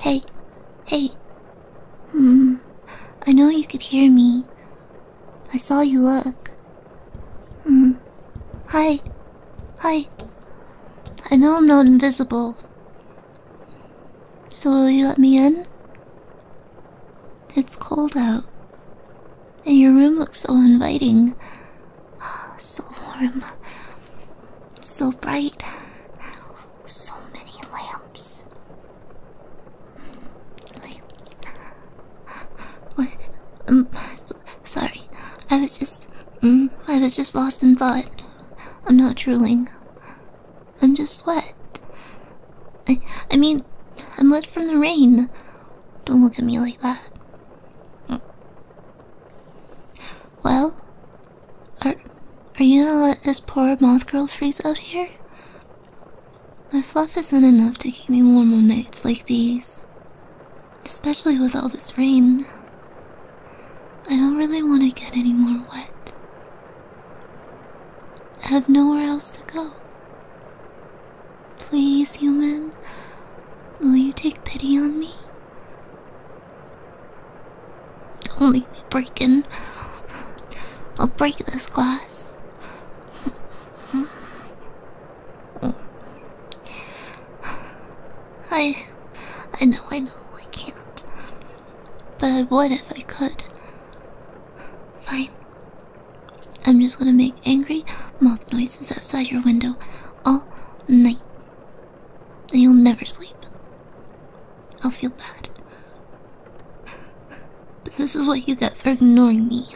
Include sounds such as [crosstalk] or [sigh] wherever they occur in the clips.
Hey, hey. Hmm, I know you could hear me. I saw you look. Hmm, hi, hi. I know I'm not invisible. So will you let me in? It's cold out and your room looks so inviting. [gasps] So warm, so bright, so many lamps. Lamps. What? I'm um, sorry, I was just, mm, I was just lost in thought. I'm not drooling. I'm just wet. I, I mean, I'm wet from the rain. Don't look at me like that. Well, are are you gonna let this poor moth girl freeze out here? My fluff isn't enough to keep me warm on nights like these, especially with all this rain. I don't really want to get any more wet. I have nowhere else to go. Please, human, will you take pity on me? Don't make me break in. I'll break this glass. I. I know, I know, I can't. But I would if I could. Fine. I'm just gonna make angry mouth noises outside your window all night. And you'll never sleep. I'll feel bad. But this is what you get for ignoring me.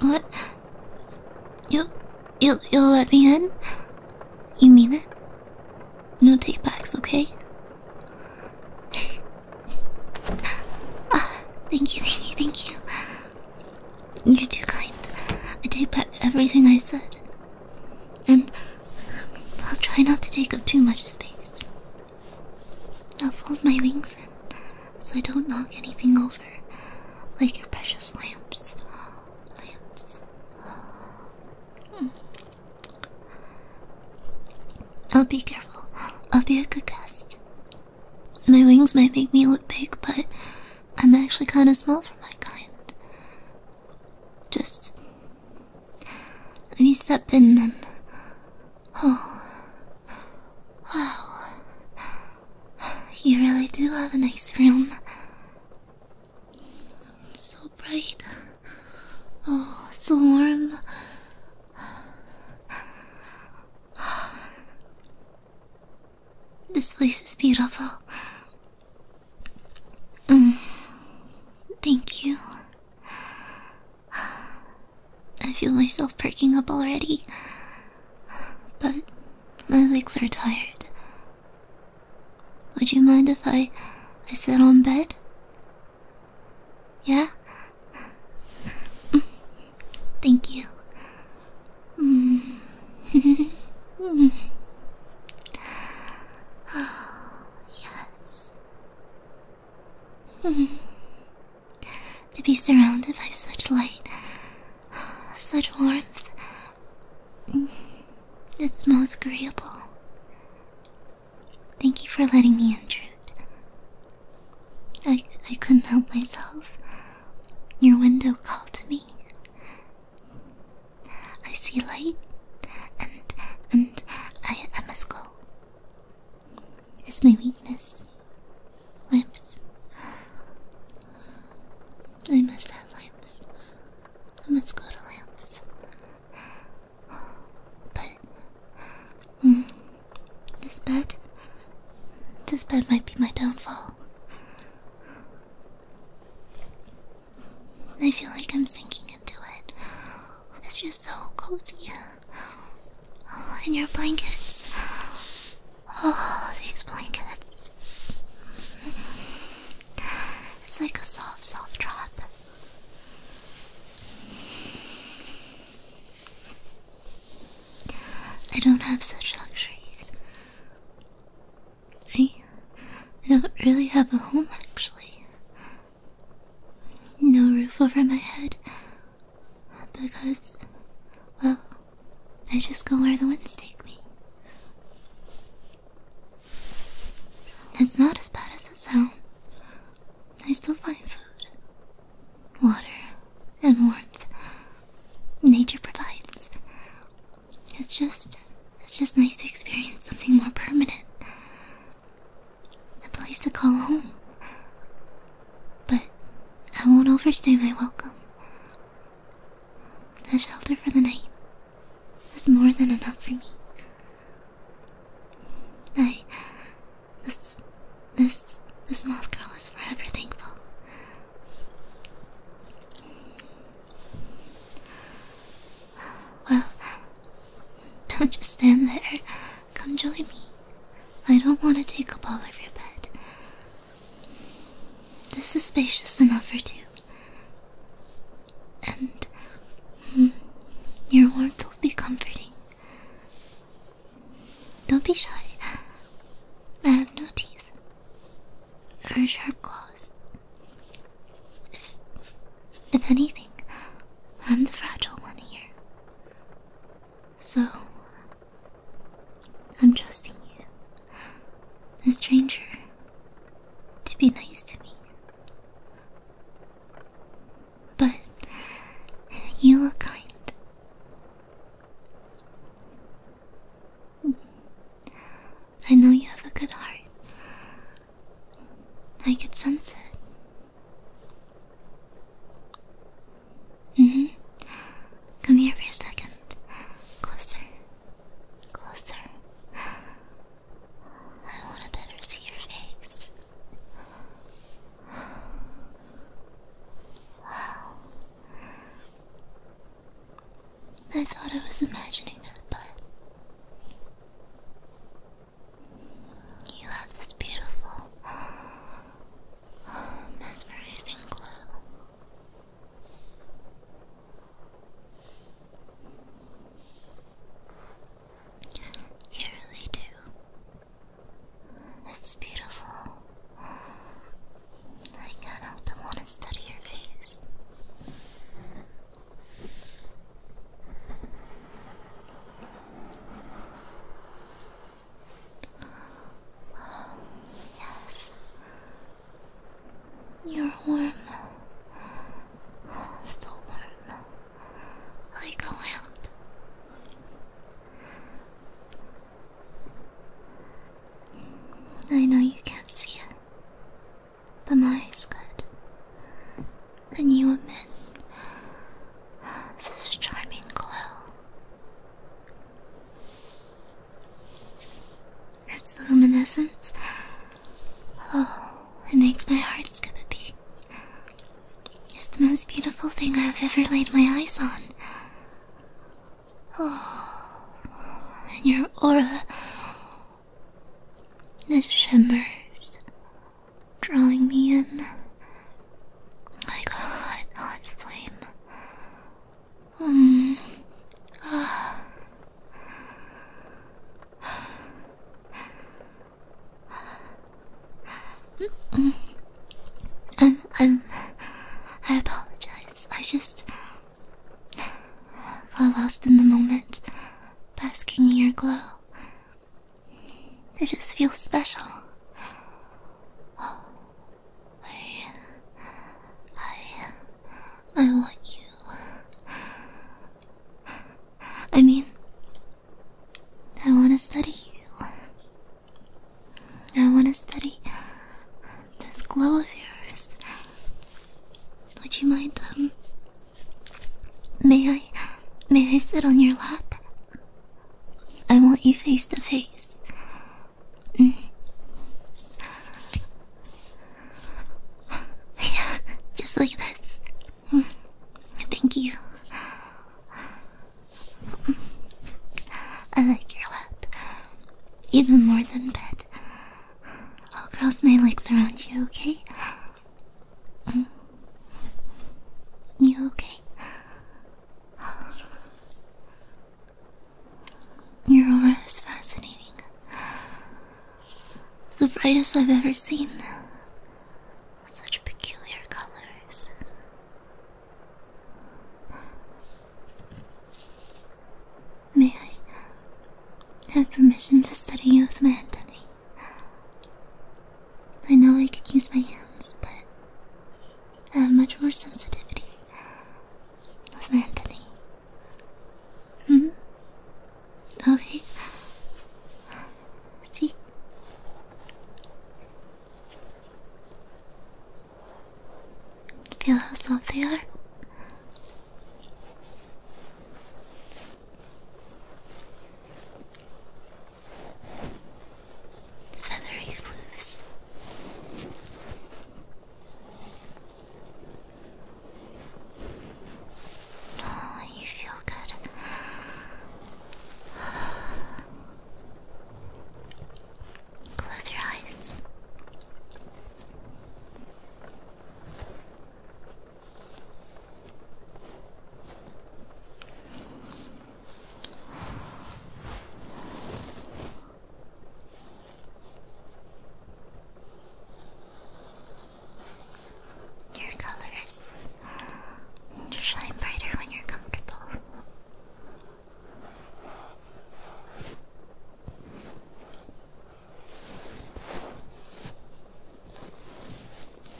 What? You, you, you'll let me in? You mean it? No takebacks, okay? [laughs] Ah, thank you, thank you, thank you. You're too kind. I take back everything I said. And I'll try not to take up too much space. I'll fold my wings in so I don't knock anything over. Like your precious lamps. Lamps. Hmm. I'll be careful. I'll be a good guest. My wings might make me look big, but I'm actually kind of small for my kind. Just let me step in and. Oh. Wow. You really do have a nice room. So bright. Oh, so warm. This place is beautiful. Mm. Thank you. I feel myself perking up already, but my legs are tired. Would you mind if I I sit on bed? Yeah? [laughs] Thank you. yes. [laughs] to be surrounded by such light, such warmth that's most agreeable. Thank you for letting me intrude. I, I couldn't help myself. Your window called me. I see light, and and I, I must go. It's my weakness. Lips. I must have lips. I must go to lamps. But hmm, this bed, this bed might be my downfall. I feel like I'm sinking into it. It's just so cozy. Oh, and your blankets. Oh, these blankets. It's like a soft, soft trap. I don't have such luxuries. I, I don't really have a home, actually. No roof over my head. Because, well, I just go where the winds take me. It's not as bad as it sounds. I still find food, water, and warmth. Nature provides. It's just it's just nice to experience something more permanent. A place to call home. But I won't overstay my welcome. A shelter for the night is more than enough for me. I. This. This. This moth girl is forever thankful. Well, don't just stand there. Come join me. I don't want to take up all of your bed. This is spacious enough for two, and hmm, your warmth will be comforting. Don't be shy. I have no teeth or sharp claws. If, if anything, I'm the fragile one here. So, I'm trusting you the stranger to be nice to me. But you are kind. I know you have a good heart. like at sunset. Come here for a second. Closer. Closer. I want to better see your face. I thought I was imagining it, but you have this beautiful, mesmerizing glow. You really do. It's beautiful. I can't help but want to study your face. yes, you're warm. So warm. Like a lamp. I know you can't see it, but my eyes could. Can you admit this charming glow? Its luminescence. Oh, it makes my heart skip a beat. It's the most beautiful thing I've ever laid my eyes on. Oh, and your aura. It shimmers, drawing me in like a hot, hot flame. Um, ah, I'm, I'm, I apologize. I just got lost in the moment, basking in your glow. I just feel special. Oh, I, I, I want you. I mean, I want to study you. I want to study this glow of yours. Would you mind, um, may I, may I sit on your lap? I want you face to face. Mm yeah, [laughs] just like this. Thank you. I like your lap. Even more than bed. I'll cross my legs around you, okay? You okay? Your aura is fascinating. The brightest I've ever seen. Such peculiar colors. May I have permission to study you with my head, I know I could use my hands, but I have much more sensitivity with my Anthony. Mm hmm. Okay. See. Feel how soft they are. Feathery floofs. Oh, you feel good. [sighs] Close your eyes. Your colors uh, shine brighter when you're comfortable.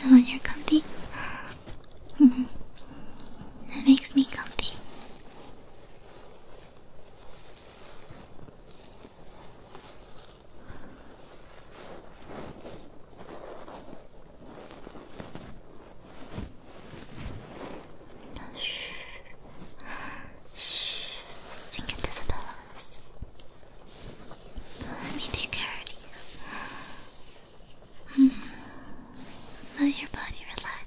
And when you're comfy, [laughs] that makes me comfy. Shh, sink into the pillows. Let me take care of you. Mm. Let your body relax.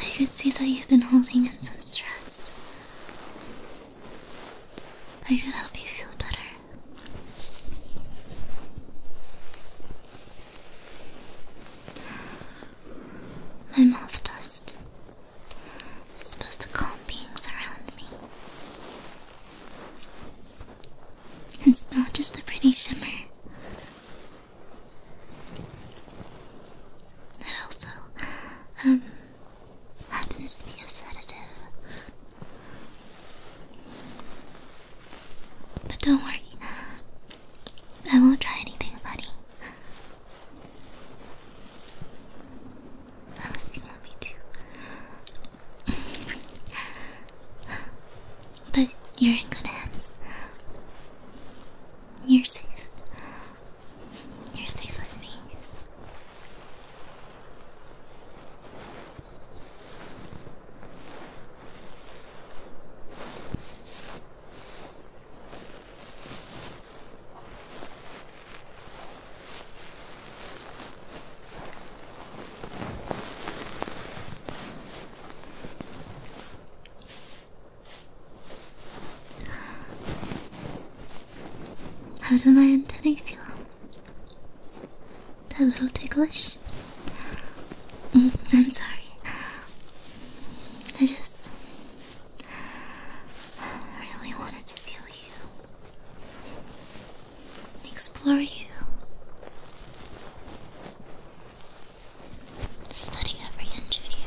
I could see that you've been holding in some stress. I can help you feel better. My mouth dust is supposed to calm beings around me. It's not just a pretty shimmer, it also um, happens to be a sedative. But don't worry, I won't try anything buddy. Unless you want me to. but you're in good hands. You're safe. You're safe with me. How do my antennae feel? That little ticklish? Mm, I'm sorry. I just really wanted to feel you, explore you. Study every inch of you.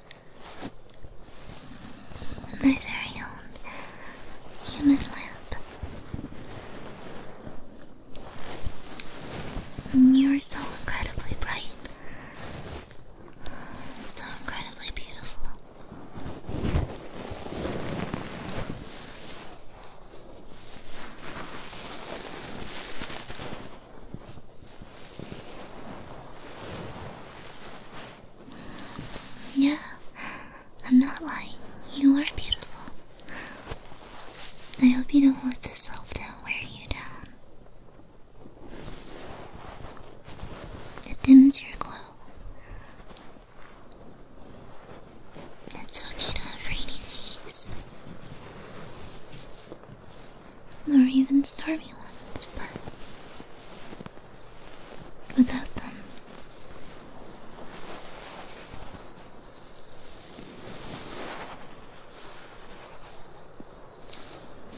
My very own human lamp. You're so incredibly bright, so incredibly beautiful. Yeah, I'm not lying. You are beautiful. I hope you don't let the self doubt wear you down. It dims your glow. It's okay to have rainy days or even stormy ones, but without them,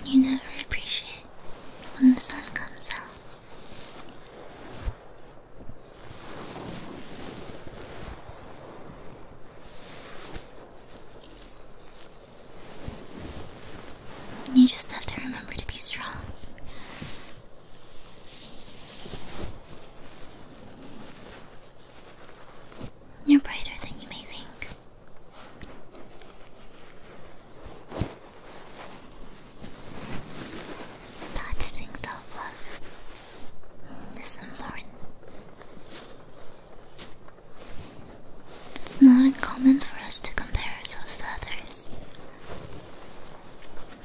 you never appreciate when the sun comes out. You just have to remember to be strong. You're brighter than you may think. Practicing self love is important. It's not uncommon for us to compare ourselves to others,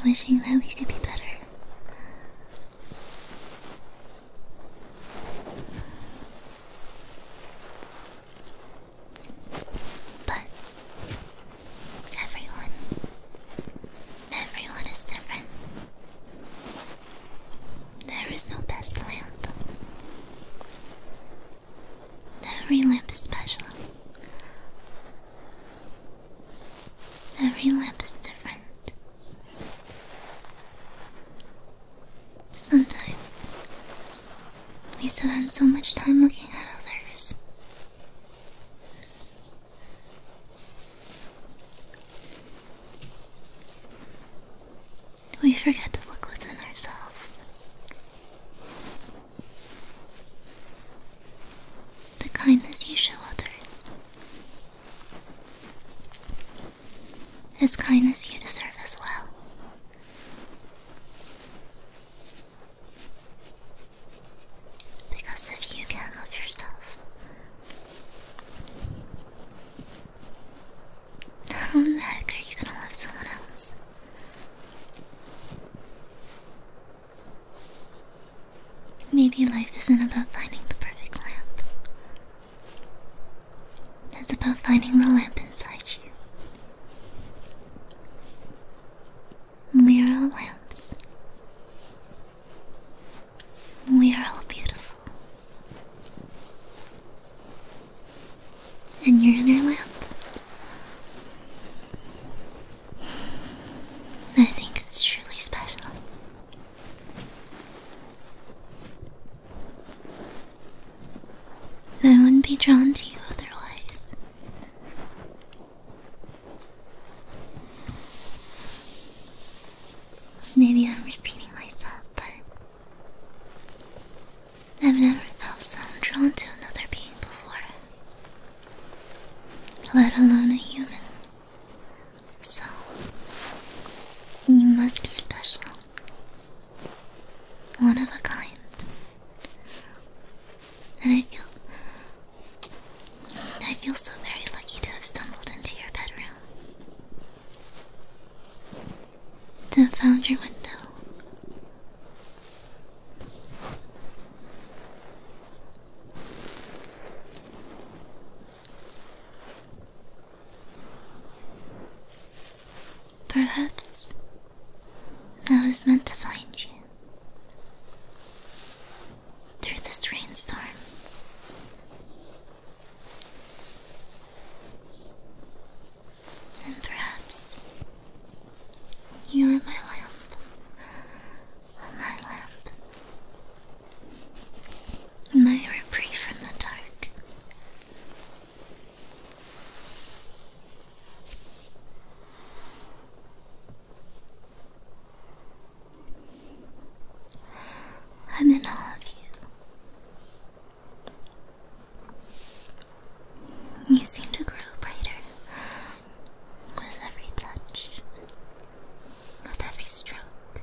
wishing that we could be better. But everyone, everyone is different. There is no best lamp. Every lamp is special. Every lamp is different. Sometimes we spend so much time looking at others we forget to look within ourselves. The kindness you show others is kindness you deserve as well. Because if you can't love yourself, how the heck are you gonna love someone else? Maybe life isn't about finding the perfect lamp. That's about finding the lamp inside you. We are all lamps. We are all beautiful and your inner lip. I think it's truly special. I wouldn't be drawn to you otherwise. Maybe I'm repeating myself, but I've never felt so drawn to another being before, let alone a human. So, you must be special. One of a kind. And I feel. I feel so very lucky to have stumbled into your bedroom found your window. Perhaps I was meant to find you through this rainstorm. And perhaps you are my lamp, my lamp, my reprieve from the dark. I'm in all of you. You seem to grow brighter with every touch, with every stroke.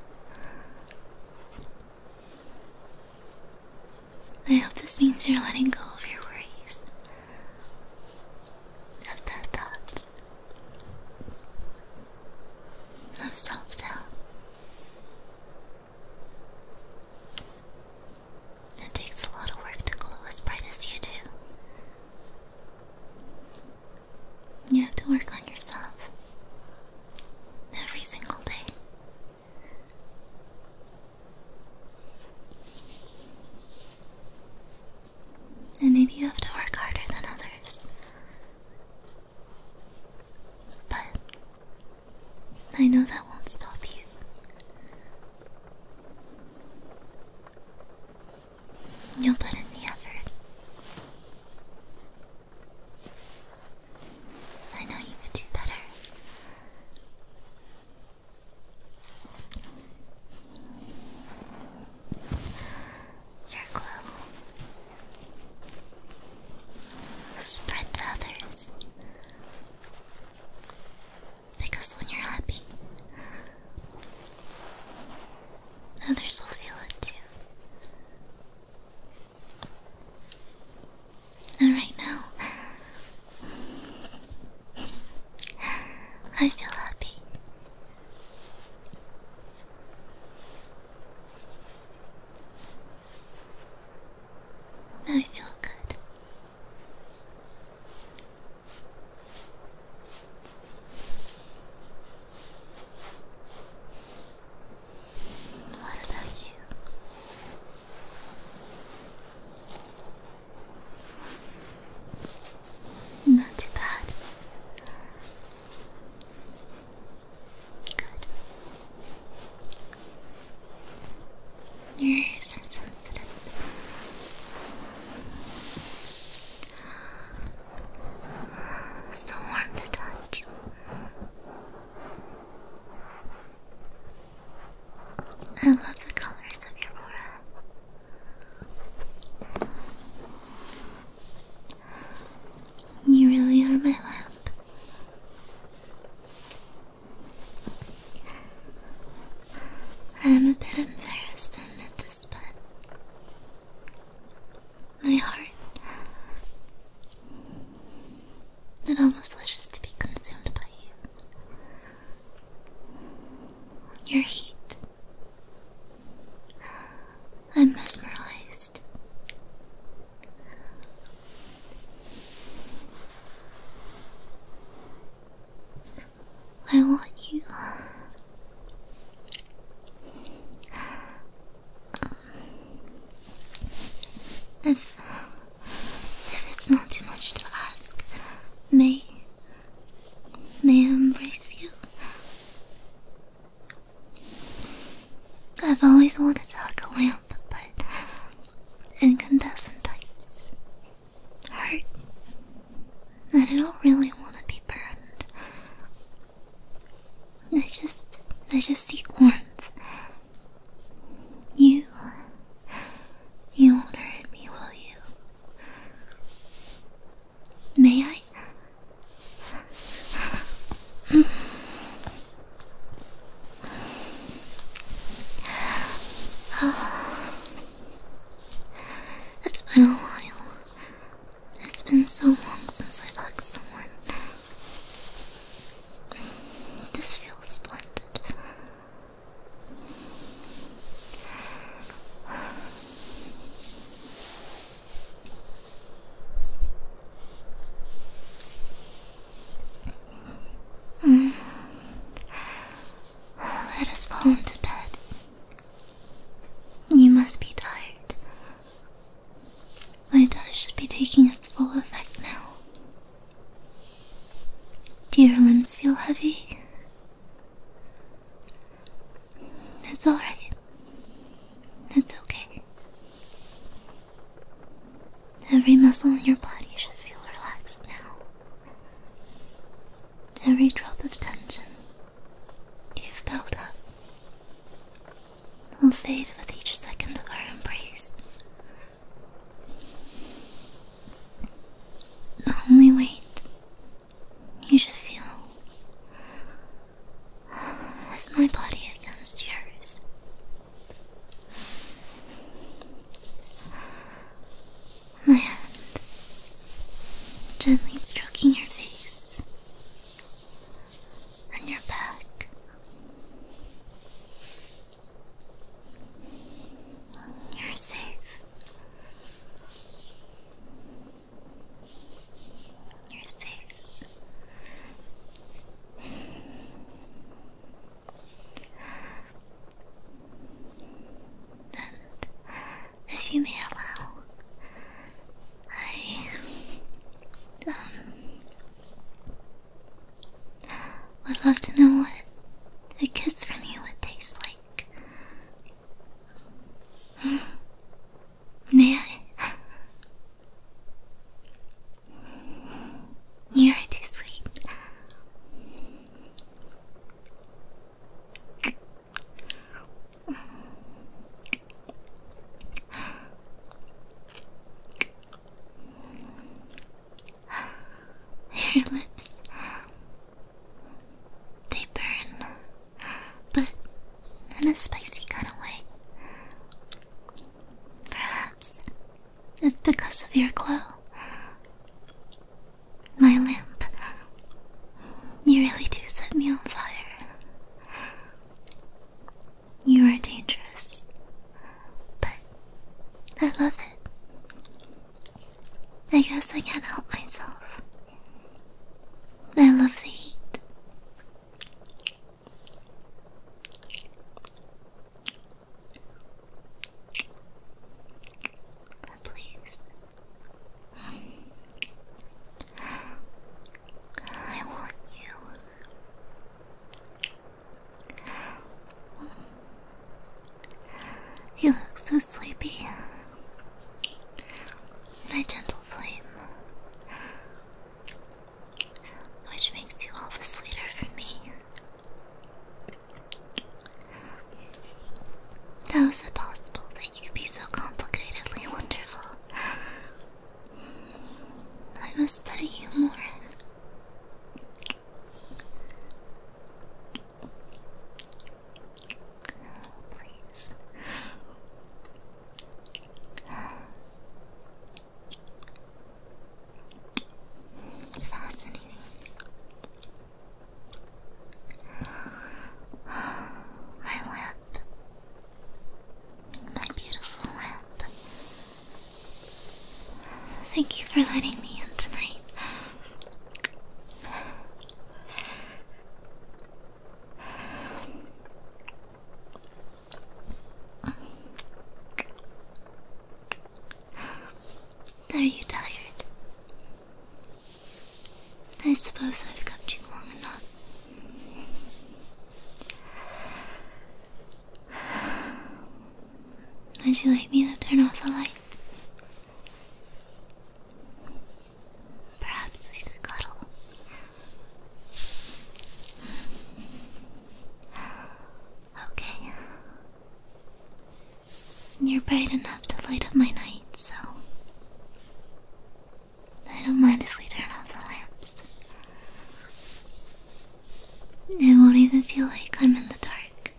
I hope this means you're letting go of your worries, of bad thoughts, of self doubt. It takes a lot of work to glow as bright as you do. You have to work on yourself every single day. And maybe you have to work harder than others. But I know that won't stop you. You'll put in the effort. I know you could do better. Your glow Spread to others. Because when you're happy, others will feel it too. And right now, I feel happy. I feel good. What about you? Not too bad. Good. you so warm to touch. I love the colors of your aura. You really are my lamp. I am a bit embarrassed to admit this, but my heart it almost wishes to be consumed by you. Your heat. I'm mesmerized. I want you. If, if it's not too much to ask, may, may I embrace you? I've always wanted to hug a lamp, but incandescent types hurt. I don't really want to be burned. I just, I just seek warmth. You, you won't hurt me, will you? May I? oh. [sighs] It's been a while. It's been so long since I hugged someone. This feels splendid. Let mm. us fall into bed. You must be tired. My dose should be taking its full effect now. Do your limbs feel heavy? That's alright. That's okay. Every muscle in your body should feel relaxed now. Every drop of tension you've built up will fade with each second of our embrace. The only weight you should feel is my body against yours. My hand gently stroking your face and your back. You're safe. You're safe if you may allow, I um, would love to know what a kiss from you would taste like. Hmm. May I? You're too sweet. Your lips, they burn, but in a spicy kind of way. Perhaps it's because of your glow. My lamp. You really do set me on fire. You are dangerous, but I love it. I guess I can't help myself. I love the heat. Please. I want you. You look so sleepy. My gentle flame which makes you all the sweeter for me. How is it possible that you could be so complicatedly wonderful? I must study you more. Please. Fascinating. My lamp. My beautiful lamp. Thank you for letting me in tonight. Are you tired? I suppose I've kept you long enough. Would you like me to turn off the lights? Perhaps we could cuddle. Okay. You're bright enough to light up my night, so I don't mind if we turn off the lamps. It won't even feel like I'm in the dark.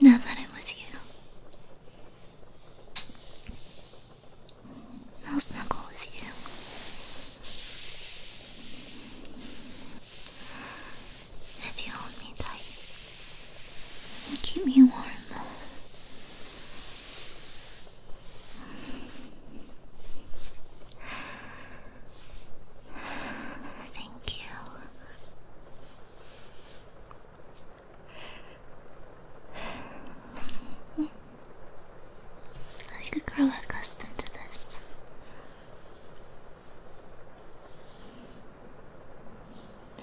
Now that I'm with you. I'll snuggle with you. If you hold me tight keep me warm. Thank you. Like a grow accustomed to this.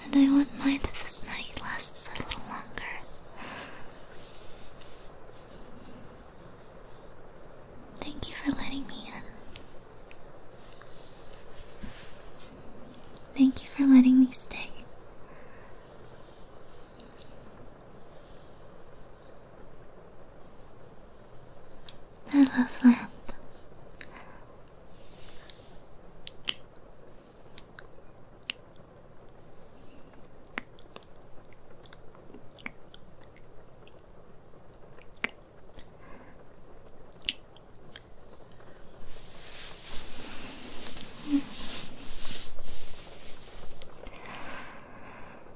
And I want mine that this night lasts a little longer. Thank you for letting me in. Thank you for letting me stay. I love that.